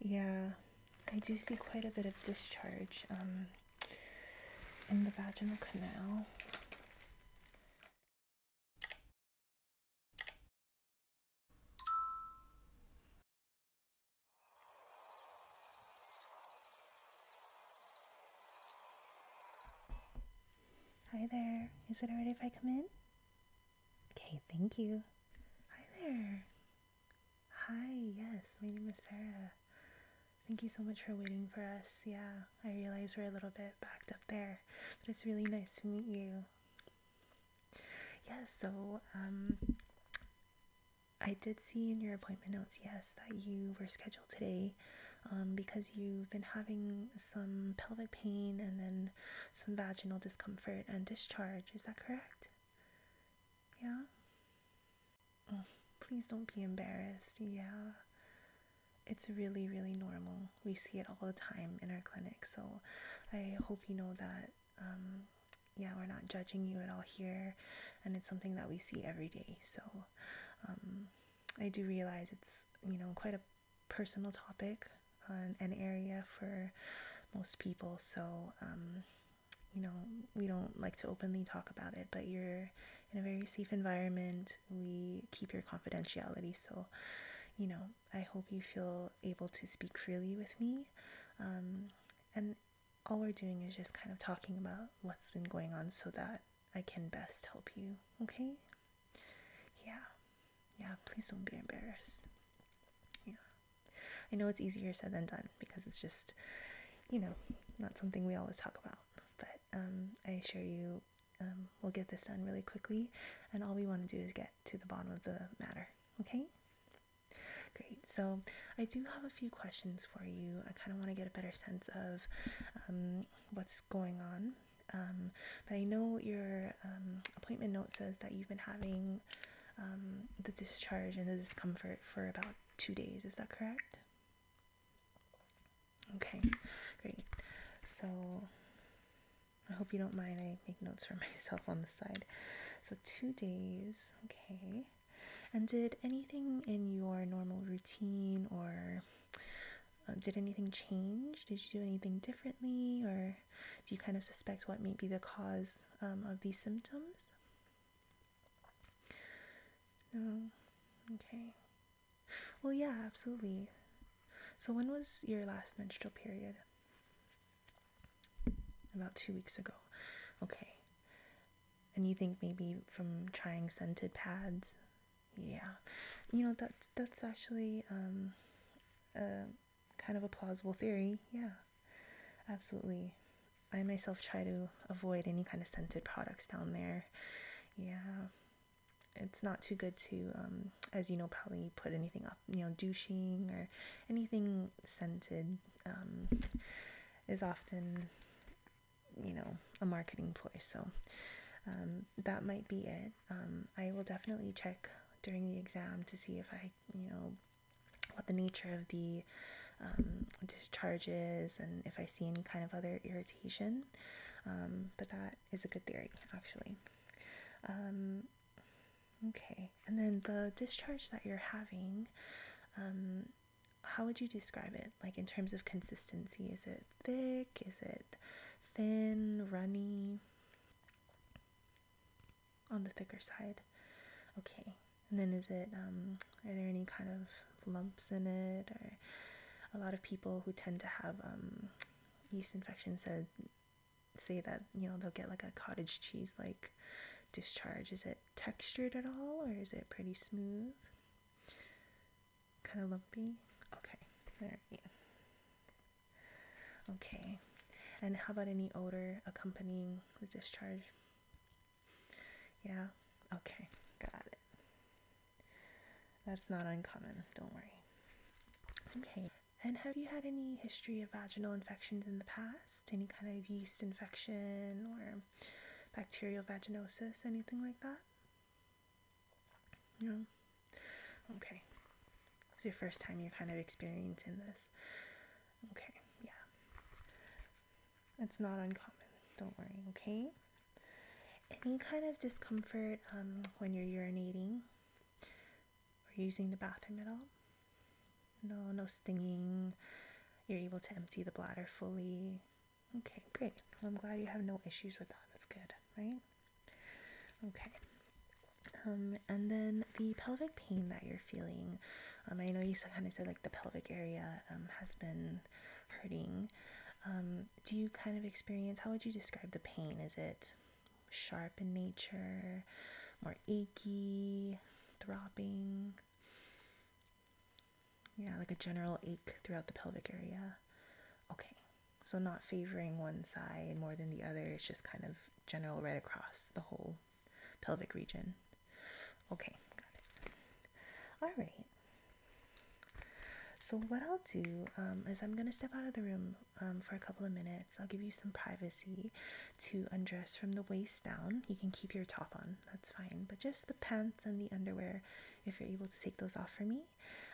Yeah, I do see quite a bit of discharge um, in the vaginal canal. Hi there. Is it alright if I come in? Okay, thank you. Hi there. Hi, yes, my name is Sarah. Thank you so much for waiting for us. Yeah, I realize we're a little bit backed up there, but it's really nice to meet you. Yeah, so um, I did see in your appointment notes, yes, that you were scheduled today um, because you've been having some pelvic pain and then some vaginal discomfort and discharge. Is that correct? Yeah? Oh, please don't be embarrassed. Yeah. It's really, really normal. We see it all the time in our clinic. So I hope you know that, um, yeah, we're not judging you at all here. And it's something that we see every day. So um, I do realize it's, you know, quite a personal topic an area for most people. So, um, you know, we don't like to openly talk about it, but you're in a very safe environment. We keep your confidentiality. So, you know, I hope you feel able to speak freely with me. Um, and all we're doing is just kind of talking about what's been going on so that I can best help you, okay? Yeah yeah, please don't be embarrassed. Yeah. I know it's easier said than done because it's just, you know, not something we always talk about. But um, I assure you, um, we'll get this done really quickly. And all we want to do is get to the bottom of the matter. Okay? Great. So I do have a few questions for you. I kind of want to get a better sense of um, what's going on. but I know you're um, appointment note says that you've been having um, the discharge and the discomfort for about two days. Is that correct? Okay, great. So I hope you don't mind. I make notes for myself on the side. So two days, okay. And did anything in your normal routine or um, did anything change? Did you do anything differently or do you kind of suspect what might be the cause um, of these symptoms? No? Okay. Well, yeah, absolutely. So, when was your last menstrual period? About two weeks ago. Okay. And you think maybe from trying scented pads? Yeah. You know, that's, that's actually um, kind of a plausible theory. Yeah, absolutely. I myself try to avoid any kind of scented products down there. Yeah, it's not too good to, um, as you know, probably put anything up, you know, douching or anything scented um, is often, you know, a marketing ploy. So um, that might be it. I will definitely check during the exam to see if I you know, what the nature of the um, discharges and if I see any kind of other irritation. Um, but that is a good theory, actually. Um, okay, and then the discharge that you're having, um, how would you describe it? Like in terms of consistency, is it thick? Is it thin, runny? on the thicker side. Okay. And then is it um are there any kind of lumps in it or a lot of people who tend to have um yeast infections say that, you know, they'll get like a cottage cheese like discharge. Is it textured at all or is it pretty smooth? Kind of lumpy? Okay. All right. Okay. And how about any odor accompanying the discharge? Yeah? Okay, got it. That's not uncommon, don't worry. Okay. And have you had any history of vaginal infections in the past? Any kind of yeast infection or bacterial vaginosis, anything like that? No? Okay. It's your first time you're kind of experiencing this. Okay, yeah. It's not uncommon. Don't worry, okay? Any kind of discomfort um, when you're urinating or using the bathroom at all? No, no stinging. You're able to empty the bladder fully. Okay, great. I'm glad you have no issues with that. That's good, right? Okay. Um, and then the pelvic pain that you're feeling. Um, I know you kind of said like the pelvic area um, has been hurting. Um, do you kind of experience, how would you describe the pain? Is it sharp in nature, more achy, throbbing? Yeah, like a general ache throughout the pelvic area. Okay, so not favoring one side more than the other, it's just kind of general right across the whole pelvic region. Okay, got it. All right. So what I'll do um, is I'm gonna step out of the room um, for a couple of minutes. I'll give you some privacy to undress from the waist down. You can keep your top on, that's fine. But just the pants and the underwear, if you're able to take those off for me,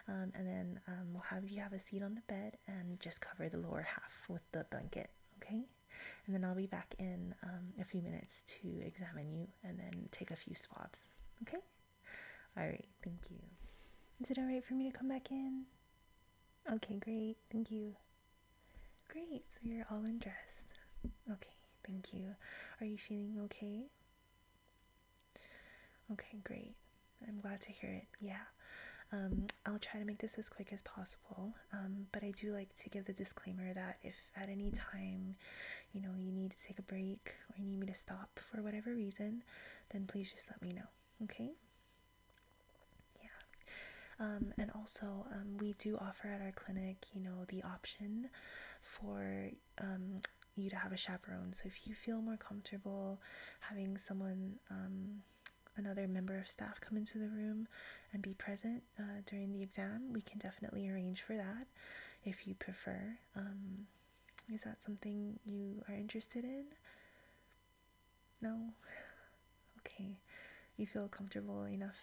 um, and then we'll have you have a seat on the bed and just cover the lower half with the blanket, okay? And then I'll be back in um, a few minutes to examine you and then take a few swabs, okay? All right, thank you. Is it all right for me to come back in? Okay, great, thank you. Great, so you're all undressed. Okay, thank you. Are you feeling okay? Okay, great. I'm glad to hear it. Yeah. Um, I'll try to make this as quick as possible, um, but I do like to give the disclaimer that if at any time, you know, you need to take a break or you need me to stop for whatever reason, then please just let me know, okay? Yeah. Um, and also, we do offer at our clinic, you know, the option for you to have a chaperone. So if you feel more comfortable having someone, another member of staff come into the room and be present uh, during the exam, we can definitely arrange for that if you prefer. Um, is that something you are interested in? No? Okay. You feel comfortable enough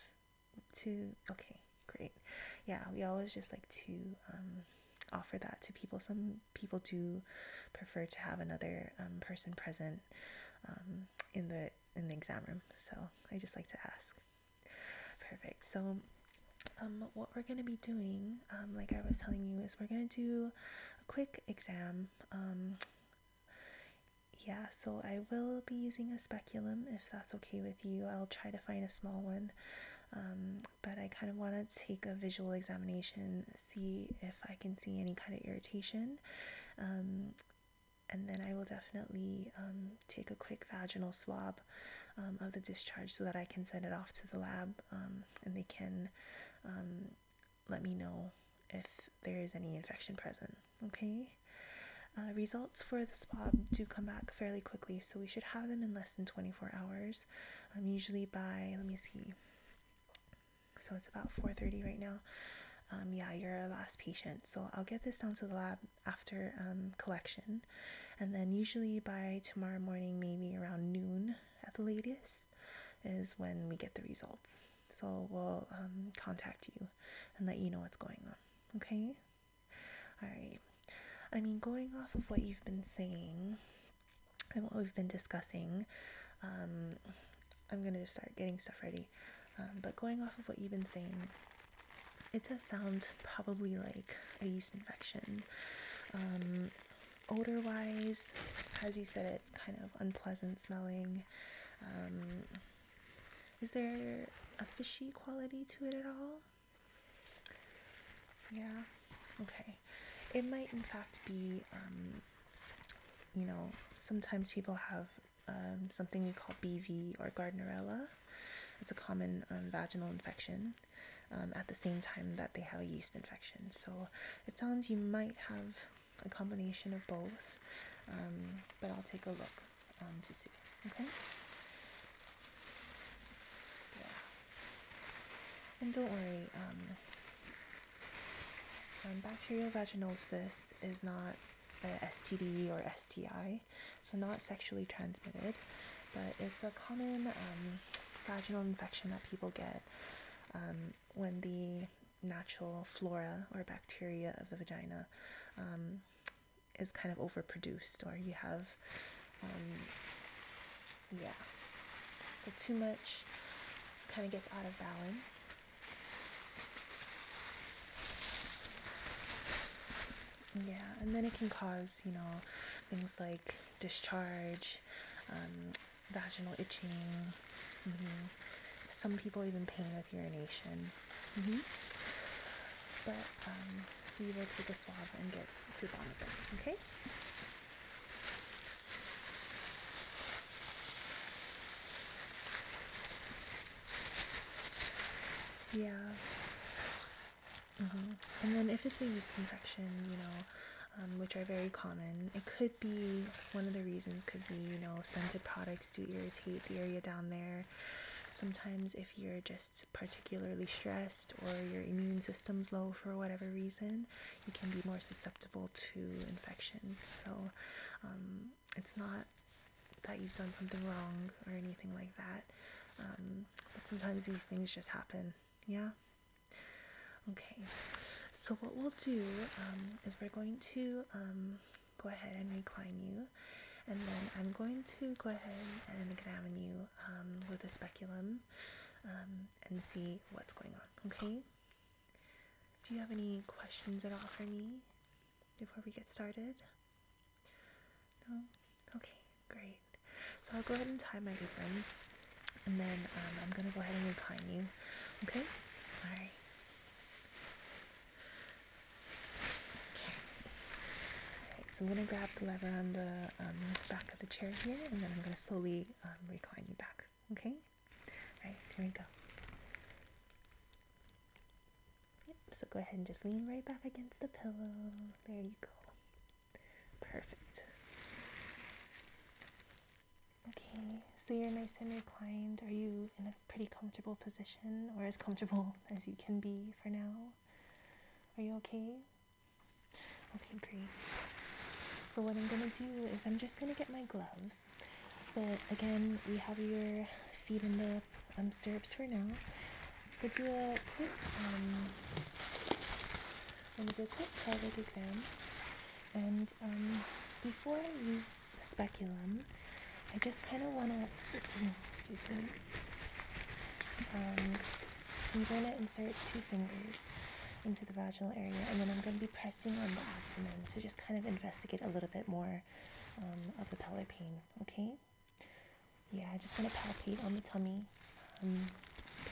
to. Okay, great. Yeah, we always just like to um, offer that to people. Some people do prefer to have another um, person present um, in the in the exam room. So I just like to ask. Perfect. So um, what we're going to be doing, like I was telling you, is we're going to do a quick exam. yeah, so I will be using a speculum if that's okay with you. I'll try to find a small one. but I kind of want to take a visual examination see if I can see any kind of irritation. Um, and then I will definitely um, take a quick vaginal swab um, of the discharge so that I can send it off to the lab and they can let me know if there is any infection present. Okay. Uh, results for the swab do come back fairly quickly, so we should have them in less than 24 hours. usually by, let me see, so it's about 4.30 right now um, yeah you're a last patient so i'll get this down to the lab after um, collection and then usually by tomorrow morning maybe around noon at the latest is when we get the results so we'll um, contact you and let you know what's going on okay all right i mean going off of what you've been saying and what we've been discussing. Um, I'm going to start getting stuff ready. Um, but going off of what you've been saying, it does sound probably like a yeast infection. Um, odor wise, as you said, it's kind of unpleasant smelling. is there a fishy quality to it at all? Yeah. Okay, it might in fact be, um, you know, sometimes people have um, something we call BV or Gardnerella. It's a common um, vaginal infection at the same time that they have a yeast infection. So it sounds you might have a combination of both, but I'll take a look to see. Okay? And don't worry, um, bacterial vaginosis is not a STD or STI, so not sexually transmitted, but it's a common um, vaginal infection that people get um, when the natural flora or bacteria of the vagina is kind of overproduced, or you have yeah. So too much kind of gets out of balance. Yeah, and then it can cause, you know, things like discharge, um, vaginal itching. Mm-hmm. Some people even pain with urination. Mm-hmm. But um, we will take a swab and get to the bottom of it, okay? Yeah. Mm -hmm. And then if it's a yeast infection, you know, um, which are very common, it could be one of the reasons could be, you know, scented products do irritate the area down there. Sometimes if you're just particularly stressed or your immune system's low for whatever reason, you can be more susceptible to infection. So um, it's not that you've done something wrong or anything like that. Um, but sometimes these things just happen. Yeah? Okay. So what we'll do um, is we're going to go ahead and recline you. And then I'm going to go ahead and examine you with a speculum and see what's going on. Okay? Do you have any questions at all for me before we get started? No? Okay, great. So I'll go ahead and tie my apron and then um, I'm gonna go ahead and recline you. Okay? Alright. Alright, so I'm gonna grab the lever on the um, back of the chair here and then I'm gonna slowly um, recline you back. Okay? Alright, here we go. so go ahead and just lean right back against the pillow. There you go. Perfect. Okay, so you're nice and reclined. Are you in a pretty comfortable position or as comfortable as you can be for now? Are you okay? Okay, great. So what I'm gonna do is I'm just gonna get my gloves. But again, we have your feet in the um, stirrups for now. We'll do a quick um, we'll do a quick pelvic exam. And um, before I use the speculum, I just kind of wanna excuse me. Um, I'm going to insert two fingers into the vaginal area, and then I'm going to be pressing on the abdomen to just kind of investigate a little bit more um, of the pelvic pain. Okay? Yeah, I just going to palpate on the tummy, um,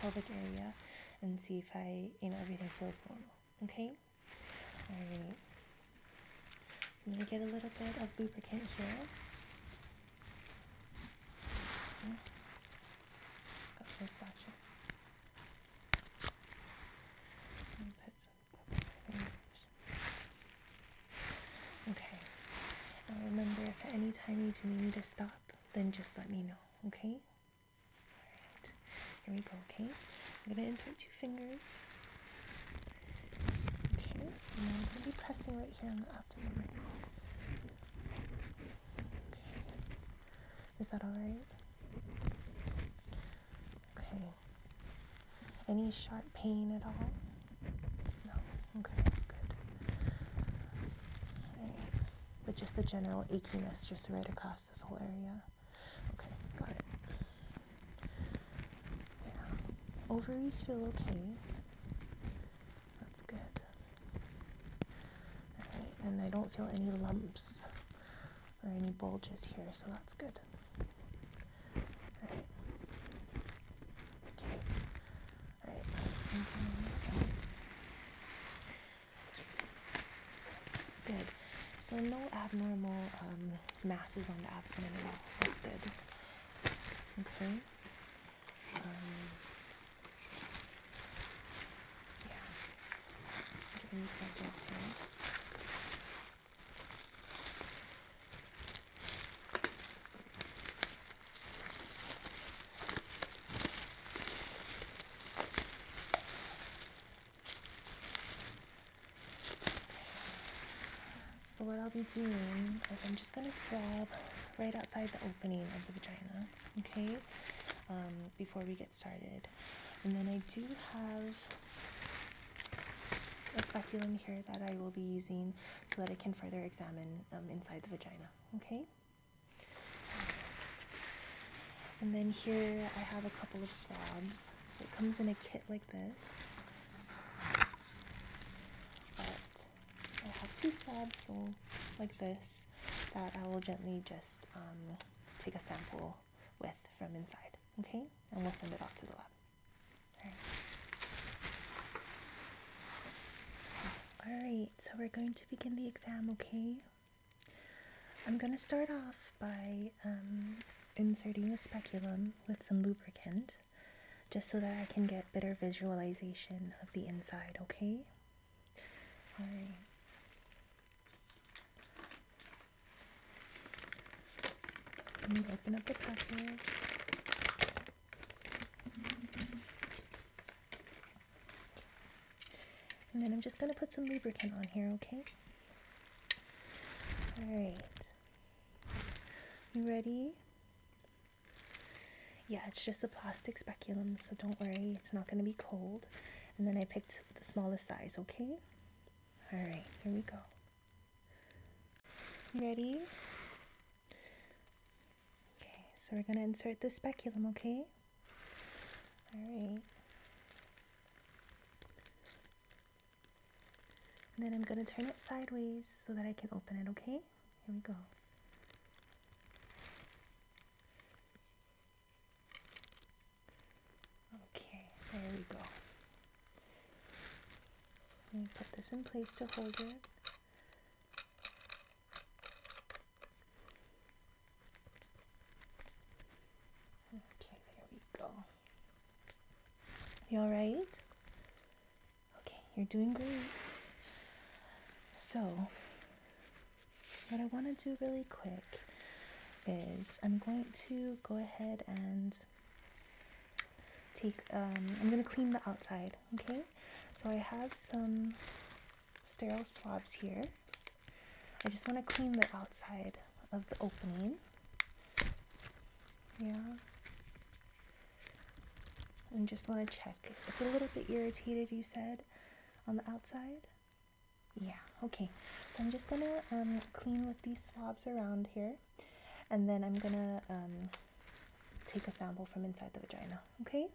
pelvic area, and see if I, you know, everything feels normal. Okay? All right. I'm going to get a little bit of lubricant here. Okay, oh, Sasha. Okay. Now remember, if at any time you do need to stop, then just let me know, okay? Alright. Here we go, okay? I'm going to insert two fingers. Okay. I'm going to be pressing right here on the abdomen. Okay. Is that alright? Okay. Any sharp pain at all? No. Okay, good. All right. But just the general achiness just right across this whole area. Okay, got it. Yeah. Ovaries feel okay. That's good. Alright, and I don't feel any lumps or any bulges here, so that's good. Alright. Okay. Alright. Good. So no abnormal um, masses on the abdomen at all. That's good. Okay. Um, so what I'll be doing is I'm just going to swab right outside the opening of the vagina okay, um, before we get started. And then I do have a speculum here that I will be using so that I can further examine um, inside the vagina, okay? And then here I have a couple of swabs. So it comes in a kit like this. But I have two swabs, so like this that I will gently just um, take a sample with from inside, okay? And we'll send it off to the lab. All right. so we're going to begin the exam, okay? I'm going to start off by um, inserting the speculum with some lubricant just so that I can get better visualization of the inside, okay? All right. Let me open up the package. And then I'm just going to put some lubricant on here, okay? Alright. You ready? Yeah, it's just a plastic speculum, so don't worry, it's not going to be cold. And then I picked the smallest size, okay? Alright, here we go. Ready? Okay, so we're going to insert the speculum, okay? Alright. And then I'm going to turn it sideways so that I can open it, okay? Here we go. Okay, there we go. Let me put this in place to hold it. Okay, there we go. You alright? Okay, you're doing great. So, what I want to do really quick is I'm going to go ahead and take, um, I'm going to clean the outside, okay? So I have some sterile swabs here. I just want to clean the outside of the opening. Yeah. And just want to check. It's a little bit irritated, you said? on the outside? Yeah, okay. So I'm just gonna um, clean with these swabs around here and then I'm gonna um, take a sample from inside the vagina, okay?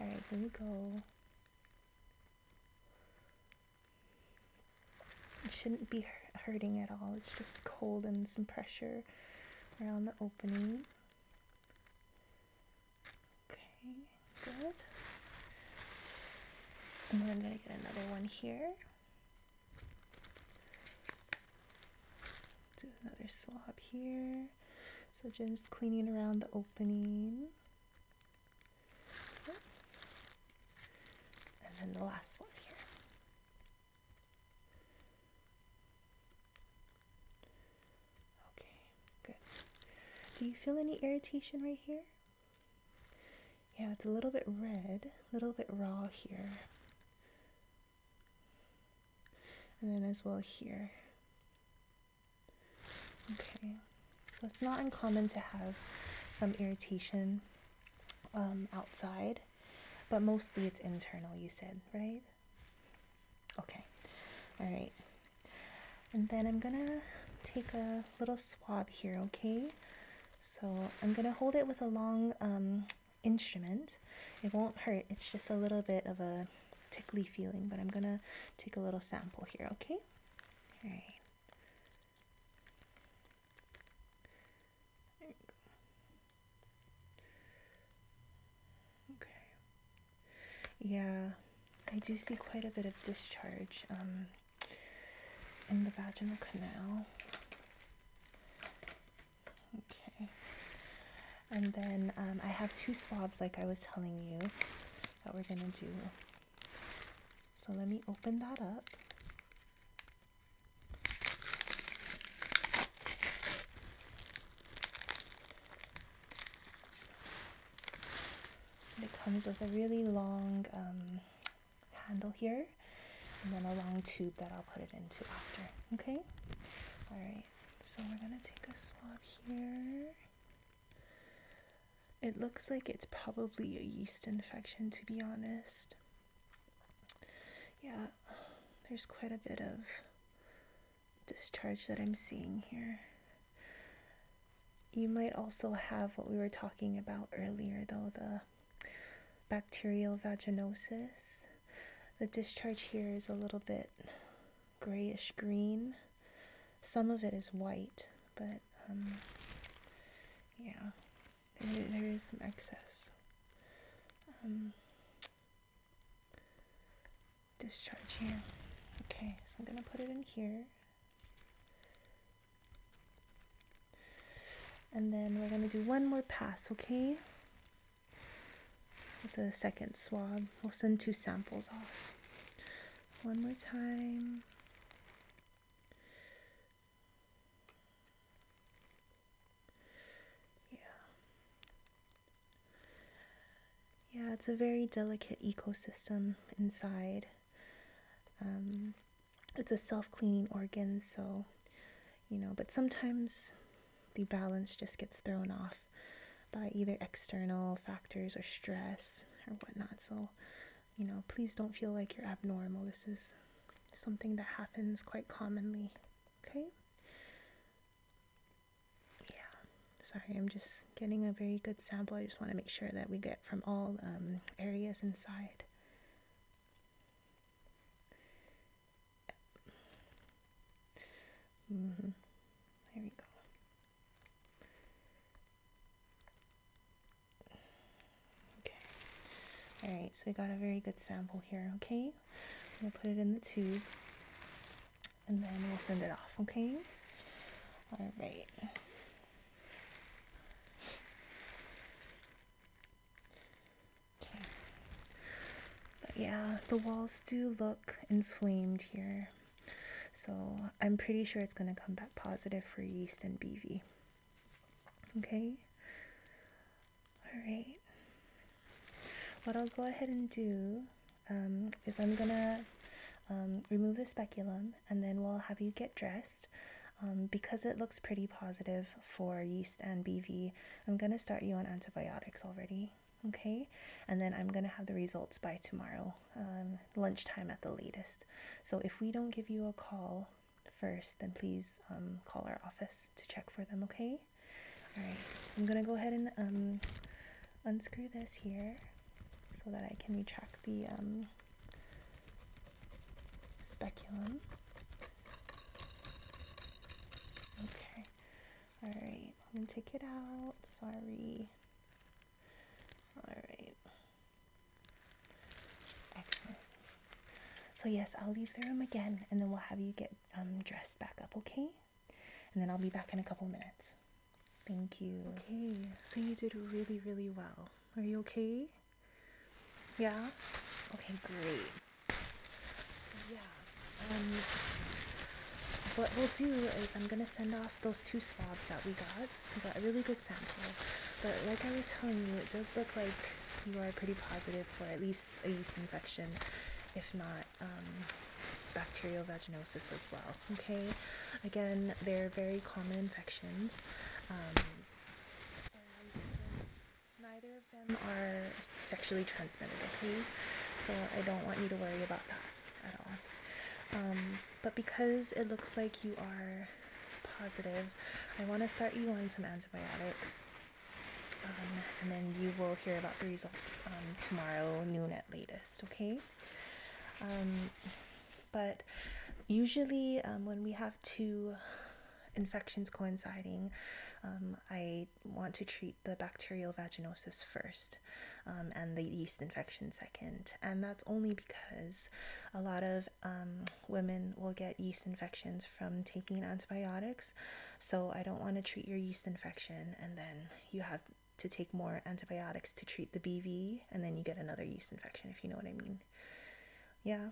All right, here we go. It shouldn't be hurting at all. It's just cold and some pressure around the opening. Okay, good. And then I'm going to get another one here. Do another swab here. So just cleaning around the opening. And then the last one here. Okay, good. Do you feel any irritation right here? Yeah, it's a little bit red, a little bit raw here. And then as well here. Okay, so it's not uncommon to have some irritation um, outside, but mostly it's internal, you said, right? Okay, all right. And then I'm gonna take a little swab here, okay? So I'm gonna hold it with a long um, instrument. It won't hurt, it's just a little bit of a tickly feeling, but I'm gonna take a little sample here, okay? All right. Okay. Yeah, I do see quite a bit of discharge um, in the vaginal canal. Okay. And then um, I have two swabs, like I was telling you, that we're going to do. So let me open that up. It comes with a really long um, handle here and then a long tube that I'll put it into after. Okay? Alright, so we're gonna take a swab here. It looks like it's probably a yeast infection to be honest. Yeah, there's quite a bit of discharge that I'm seeing here. You might also have what we were talking about earlier, though the bacterial vaginosis. The discharge here is a little bit grayish green. Some of it is white, but um, yeah, there is some excess. Um, discharge here. Okay, so I'm going to put it in here. And then we're going to do one more pass, okay? With the second swab. We'll send two samples off. So one more time. Yeah. Yeah, it's a very delicate ecosystem inside. Um, it's a self cleaning organ, so, you know, but sometimes the balance just gets thrown off by either external factors or stress or whatnot. So, you know, please don't feel like you're abnormal. This is something that happens quite commonly, okay? Yeah, sorry, I'm just getting a very good sample. I just want to make sure that we get from all um, areas inside. Mm-hmm. There we go. Okay. Alright, so we got a very good sample here, okay? i will put it in the tube and then we'll send it off, okay? All right. Okay. But yeah, the walls do look inflamed here. So I'm pretty sure it's going to come back positive for yeast and BV. Okay? Alright. What I'll go ahead and do um, is I'm gonna um, remove the speculum and then we'll have you get dressed. Um, because it looks pretty positive for yeast and BV, I'm gonna start you on antibiotics already, okay? And then I'm gonna have the results by tomorrow, lunchtime at the latest. So if we don't give you a call first, then please call our office to check for them, okay? All right. So I'm gonna go ahead and um, unscrew this here so that I can retract the um, speculum. Okay. All right. I'm gonna take it out. Sorry. All right. Excellent. So yes, I'll leave the room again, and then we'll have you get um, dressed back up. Okay and then I'll be back in a couple minutes. Thank you. Okay, so you did really, really well. Are you okay? Yeah? Okay, great. So, yeah. Um, what we'll do is I'm going to send off those two swabs that we got. We got a really good sample. But like I was telling you, it does look like you are pretty positive for at least a yeast infection, if not um, bacterial vaginosis as well. Okay, again, they're very common infections. Um, neither of them are sexually transmitted. Okay, so I don't want you to worry about that at all. Um, but because it looks like you are positive, I want to start you on some antibiotics. Um, and then you will hear about the results um, tomorrow noon at latest, okay? Um, but usually, when we have two infections coinciding, I want to treat the bacterial vaginosis first and the yeast infection second. And that's only because a lot of women will get yeast infections from taking antibiotics. So I don't want to treat your yeast infection and then you have to take more antibiotics to treat the BV and then you get another yeast infection, if you know what I mean. Yeah.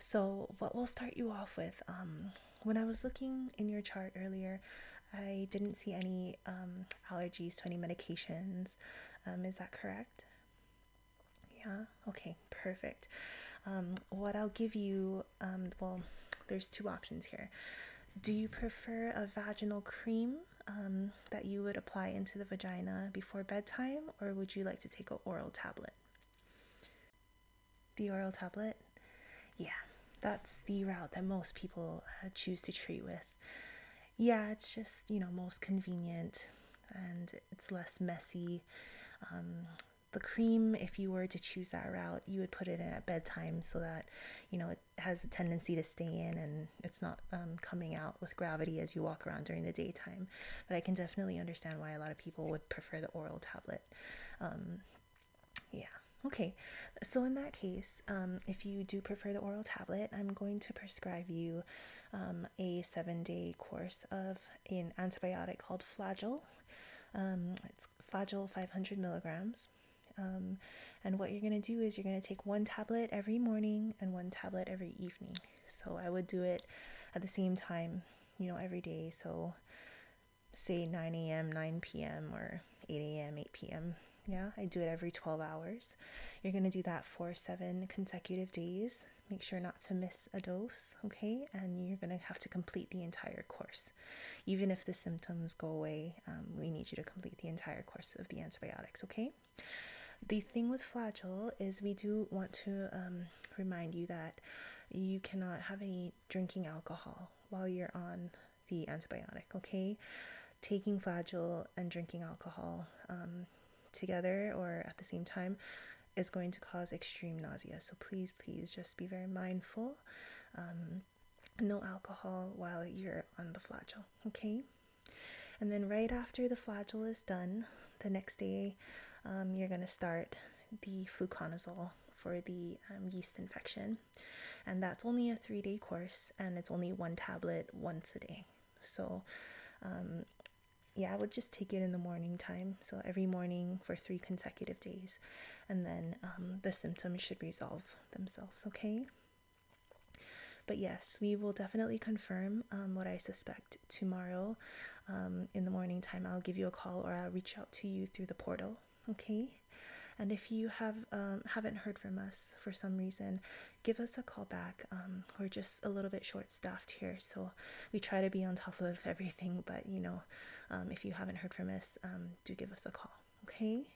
So, what we'll start you off with, um, when I was looking in your chart earlier, I didn't see any um, allergies to any medications. Um, is that correct? Yeah, okay, perfect. Um, what I'll give you um, well, there's two options here. Do you prefer a vaginal cream um, that you would apply into the vagina before bedtime, or would you like to take an oral tablet? The oral tablet? Yeah, that's the route that most people uh, choose to treat with. Yeah, it's just, you know, most convenient and it's less messy. Um, the cream, if you were to choose that route, you would put it in at bedtime so that, you know, it has a tendency to stay in and it's not um, coming out with gravity as you walk around during the daytime. But I can definitely understand why a lot of people would prefer the oral tablet. Um, yeah. Okay, so in that case, um, if you do prefer the oral tablet, I'm going to prescribe you um, a seven day course of an antibiotic called Flagyl. Um, it's Fragile 500 milligrams. Um, and what you're going to do is you're going to take one tablet every morning and one tablet every evening. So I would do it at the same time, you know, every day. So say 9 a.m., 9 p.m., or 8 a.m., 8 p.m. Yeah, I do it every 12 hours. You're going to do that for seven consecutive days. Make sure not to miss a dose, okay? And you're going to have to complete the entire course. Even if the symptoms go away, um, we need you to complete the entire course of the antibiotics, okay? The thing with Flagyl is we do want to um, remind you that you cannot have any drinking alcohol while you're on the antibiotic, okay? Taking Flagyl and drinking alcohol um, together or at the same time is going to cause extreme nausea. So please, please just be very mindful um, no alcohol while you're on the flagell, okay? And then right after the flagell is done, the next day um, you're going to start the fluconazole for the um, yeast infection. And that's only a three day course and it's only one tablet once a day. So, yeah, I would just take it in the morning time. So, every morning for three consecutive days and then um, the symptoms should resolve themselves, okay? But yes, we will definitely confirm um, what I suspect tomorrow um, in the morning time. I'll give you a call or I'll reach out to you through the portal, okay? And if you have haven't heard from us for some reason, give us a call back. we're just a little bit short staffed here, so we try to be on top of everything, but you know um, if you haven't heard from us, um, do give us a call, okay?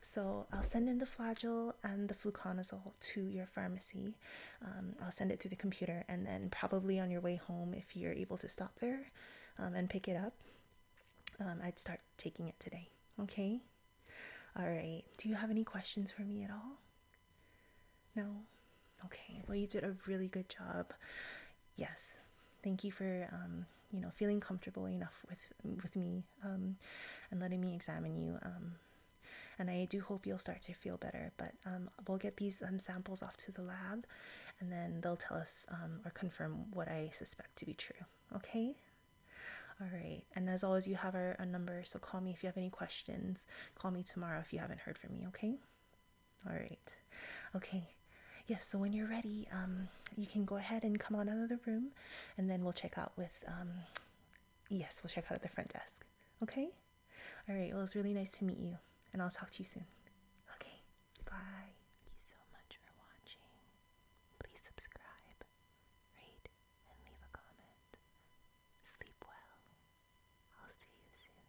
So I'll send in the Flagyl and the fluconazole to your pharmacy. Um, I'll send it through the computer, and then probably on your way home, if you're able to stop there and pick it up, I'd start taking it today, okay? All right. Do you have any questions for me at all? No? Okay. Well, you did a really good job yes, thank you for um, you know feeling comfortable enough with with me um, and letting me examine you. Um, and I do hope you'll start to feel better. But um, we'll get these um, samples off to the lab, and then they'll tell us um, or confirm what I suspect to be true. Okay. All right. And as always, you have our, our number, so call me if you have any questions. Call me tomorrow if you haven't heard from me. Okay. All right. Okay. Yes, yeah, so when you're ready, um, you can go ahead and come on out of the room and then we'll check out with, um, yes, we'll check out at the front desk. Okay? All right. Well, was really nice to meet you and I'll talk to you soon. Okay. Bye. Thank you so much for watching. Please subscribe, rate, and leave a comment. Sleep well. I'll see you soon.